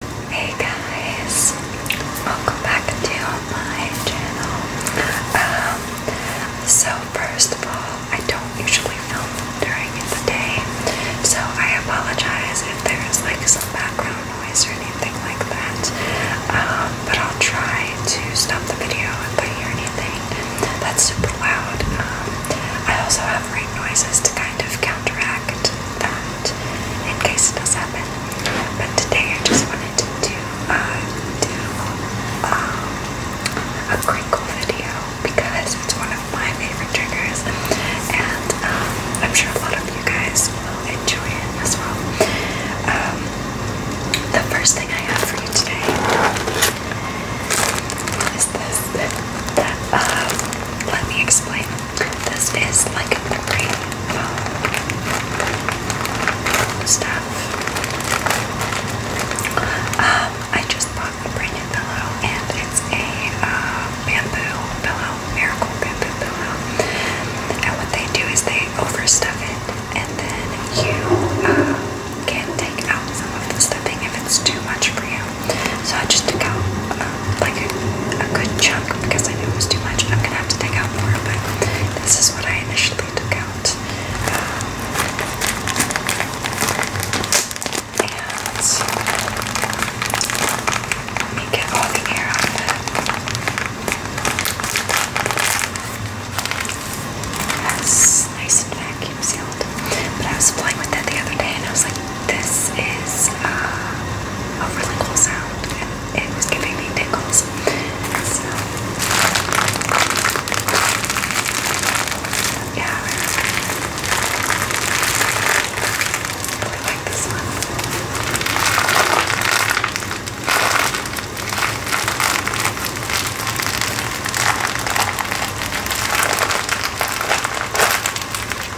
Hey guys, welcome back to my channel. Um, so first of all, I don't usually film during the day, so I apologize if there's like some background noise or anything like that. Um, but I'll try to stop the video if I hear anything that's super loud. Um, I also have rain noises to kind of counteract that in case it does happen. But today I just wanted to do, uh, um, a crinkle video because it's one of my favorite triggers and um, I'm sure a lot of you guys will enjoy it as well. Um, the first thing I have for you today is this. Uh, let me explain this is like a great um, stuff. Um, I just bought a brand new pillow, and it's a uh, bamboo pillow, miracle bamboo pillow. And what they do is they overstuff it, and then you uh, can take out some of the stuffing if it's too much for you. So I just took out uh, like a, good chunk because I knew it was too much. I'm gonna have to take out more, but this is what I initially took out. and let get all the air out of it. That's nice and vacuum sealed. But I was playing with that the other day and I was like, this is uh, a really cool sound, and it was giving me tickles. yeah, I really like this one.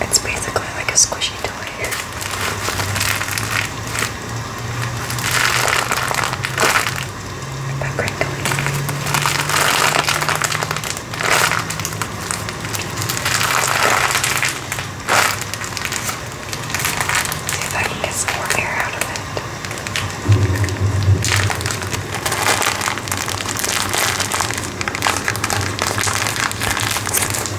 It's basically like a squishy toy. That crinkly. See if I can get more air out of it.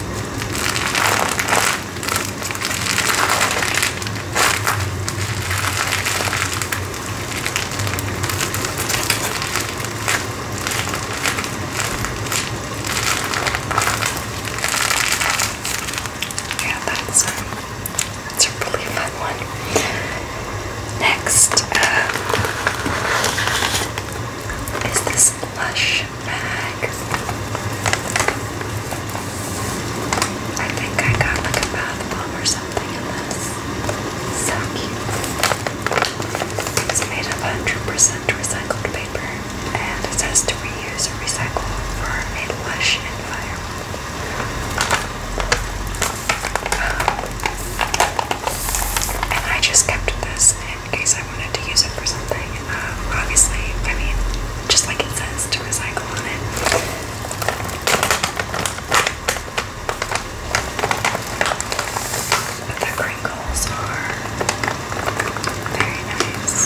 Yeah, that's um, that's a really fun one. Next uh, is this Lush bags. I think I got like a bath bomb or something in this. So cute. It's made of 100% recycled paper and it says to reuse or recycle for a lush environment. Um, and I just kept this in case I wanted to use it for something. Um, obviously, I mean, just like it says to recycle on it. the crinkles are very nice.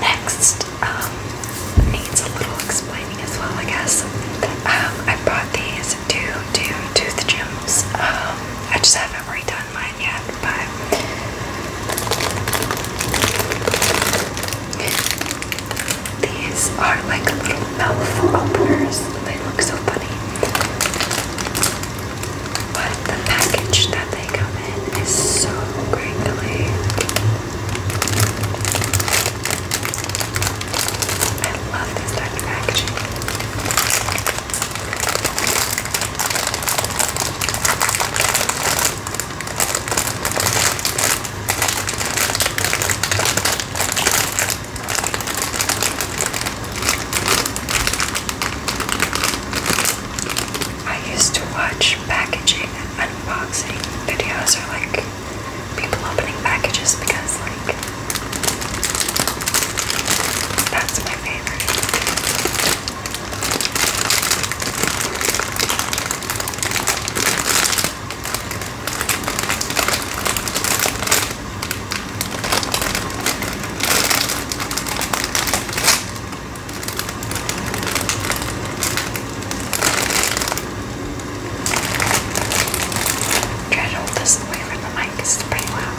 Next, um, needs a little explaining as well, I guess. Um, I bought these due to Tooth Gems. Um, I just haven't redone mine yet, but these are like little mouthful openers. They look so funny. But the package that they come in is so crinkly. I love this type of packaging. I used to watch packaging unboxing videos or like people opening packages because like that's my favorite. Try to hold this away from the mic, it's pretty loud.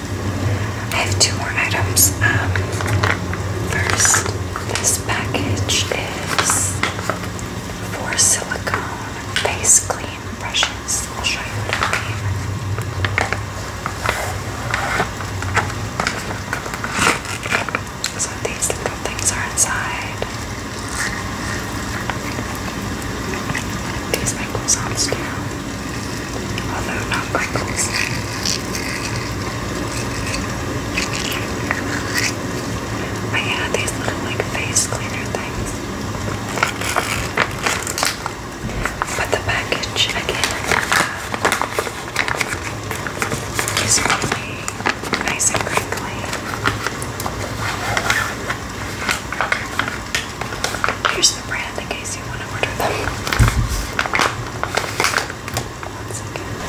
I have two more items. Um, first, this package is four silicone face clean brushes. I'll show you what I mean. So these little things are inside. These make no sounds too although not crinkles. But yeah, these little like face cleaner things. But the package again uh, is really nice and crinkly. Here's the brand in case you want to order them. One second. Okay.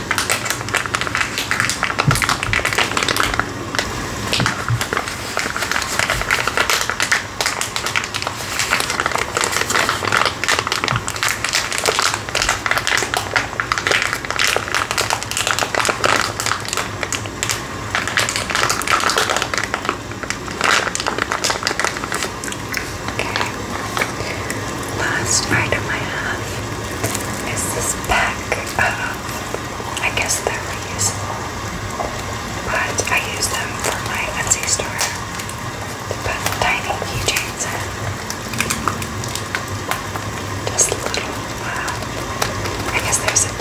Okay. Last item I have is this bag. I guess they're reusable, but I use them for my Etsy store to tiny keychains Just little, uh, I guess they're zip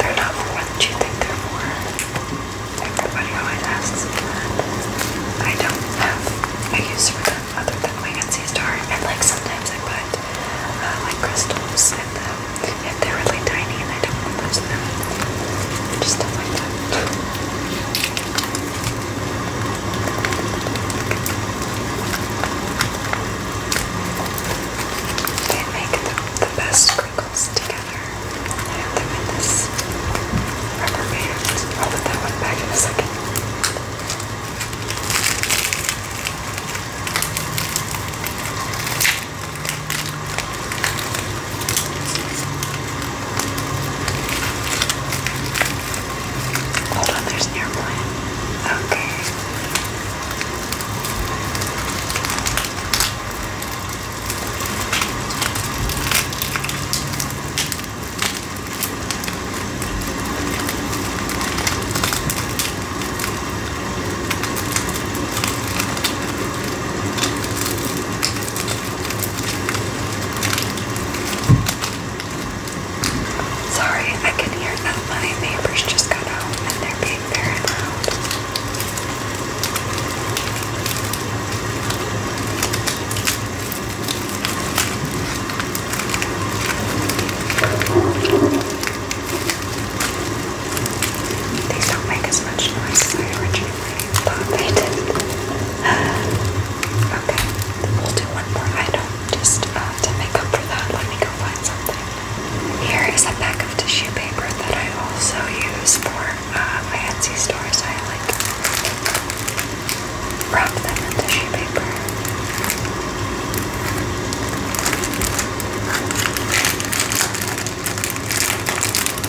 they're not for what they're for. Everybody always asks me I don't have I use for them other than my Etsy store. And like sometimes I put uh, like crystals in them if they're really tiny and I don't want to lose them. Just like They make the, the best circles together. I have them in this rubber band. I'll put that one back in a second. Hold on, there's an airplane. Okay. Sorry, I can hear that my neighbors just got out and they're like These don't make as much noise as I originally thought they did. Okay, we'll do one more item just uh, to make up for that. Let me go find something. Here is a pack of tissue paper that I also use for uh, my Etsy store. So I like wrap them in tissue paper.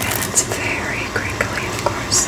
And it's very crinkly, of course.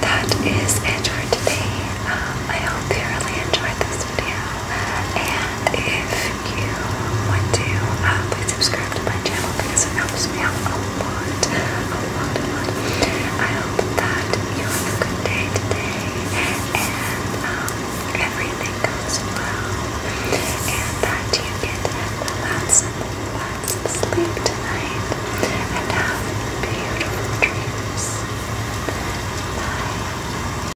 That is it for today. Um, I hope you really enjoyed this video. And if you want to please subscribe to my channel because it helps me out a lot, a lot, a lot. I hope that you have a good day today and um, everything goes well and that you get lots and lots of sleep tonight and have beautiful dreams. Bye.